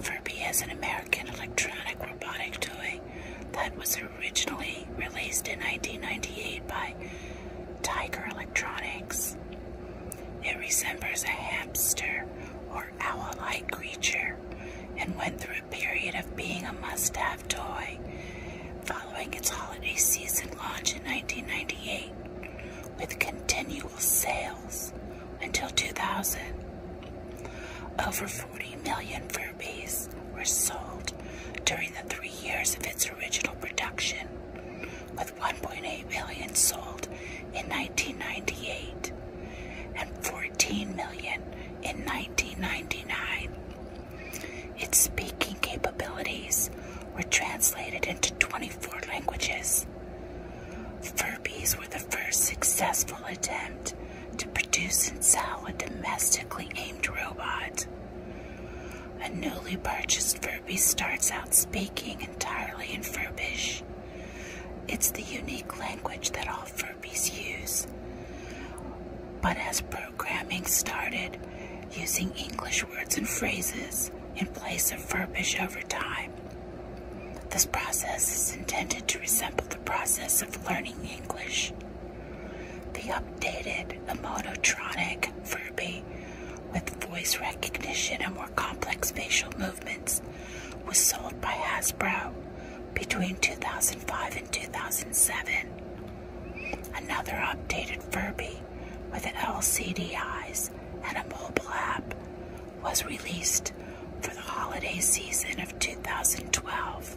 Furby is an American electronic robotic toy that was originally released in 1998 by Tiger Electronics. It resembles a hamster or owl like creature and went through a period of being a must have toy following its holiday season launch in 1998, with continual sales until 2000. Over 40 million Furbies were sold during the three years of its original production, with 1.8 million sold in 1998 and 14 million in 1999. Its speaking capabilities were translated into 24 languages. Furbies were the first successful attempt to produce and sell a domestically aimed robot. A newly purchased Furby starts out speaking entirely in Furbish. It's the unique language that all therapies use. But as programming started using English words and phrases in place of verbiage over time, this process is intended to resemble the process of learning English. The updated emotronic Furby with voice recognition and more complex facial movements was sold by Hasbro between 2005 and 2007. Another updated Furby with LCD eyes and a mobile app was released for the holiday season of 2012.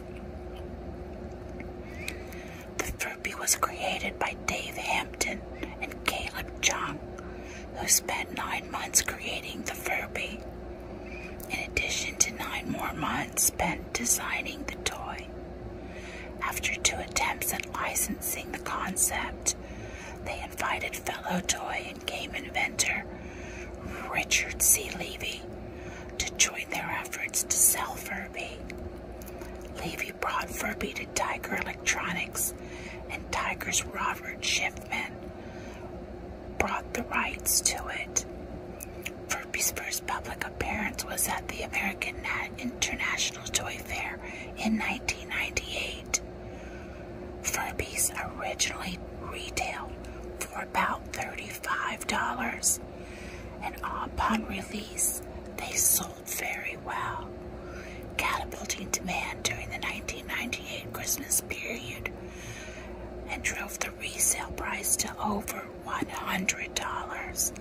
The Furby was created by Dave Hampton and Caleb Jung, who spent nine months creating the Furby in addition to nine more months spent designing the toy. After two attempts at licensing the concept, they invited fellow toy and game inventor Richard C. Levy to join their efforts to sell Furby. Levy brought Furby to Tiger Electronics and Tiger's Robert Schiffman brought the rights to it. Furby's first public appearance was at the American International Toy Fair in 1998. Furbies originally retailed for about $35, and upon release, they sold very well catapulting demand during the 1998 Christmas period and drove the resale price to over $100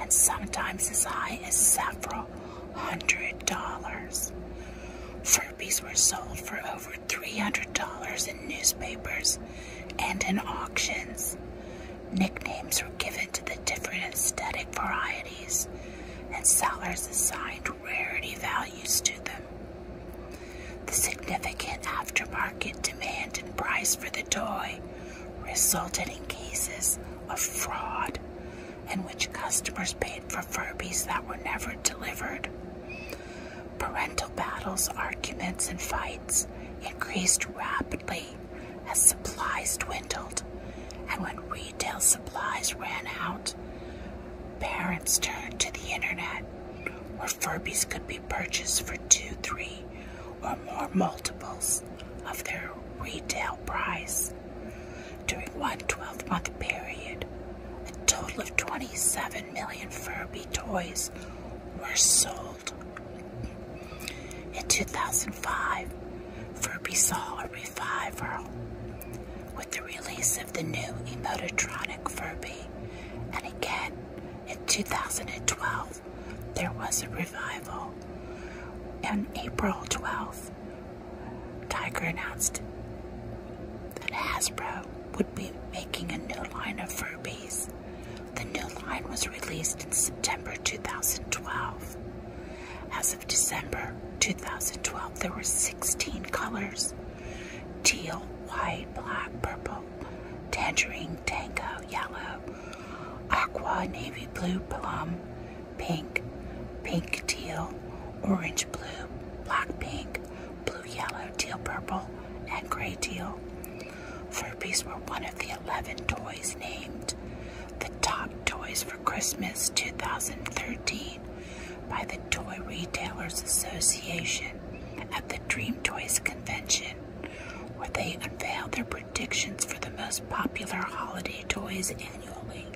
and sometimes as high as several hundred dollars. Furbies were sold for over $300 in newspapers and in auctions. Nicknames were given to the different aesthetic varieties and sellers assigned rarity values to them. The significant aftermarket demand and price for the toy resulted in cases of fraud in which customers paid for Furbies that were never delivered. Parental battles, arguments, and fights increased rapidly as supplies dwindled, and when retail supplies ran out, parents turned to the internet where Furby's could be purchased for two, three, or more multiples of their retail price. During one 12 month period, a total of 27 million Furby toys were sold. In 2005, Furby saw a revival with the release of the new Emotronic Furby, and again in 2012 there was a revival. On April 12th, Tiger announced that Hasbro would be making a new line of Furbies the new line was released in September 2012. As of December 2012, there were 16 colors teal, white, black, purple, tangerine, tango, yellow, aqua, navy blue, plum, pink, pink teal, orange blue, black pink, blue yellow, teal purple, and gray teal. Furbies were one of the 11 toys named the top toys for Christmas 2013 by the Toy Retailers Association at the Dream Toys Convention, where they unveil their predictions for the most popular holiday toys annually.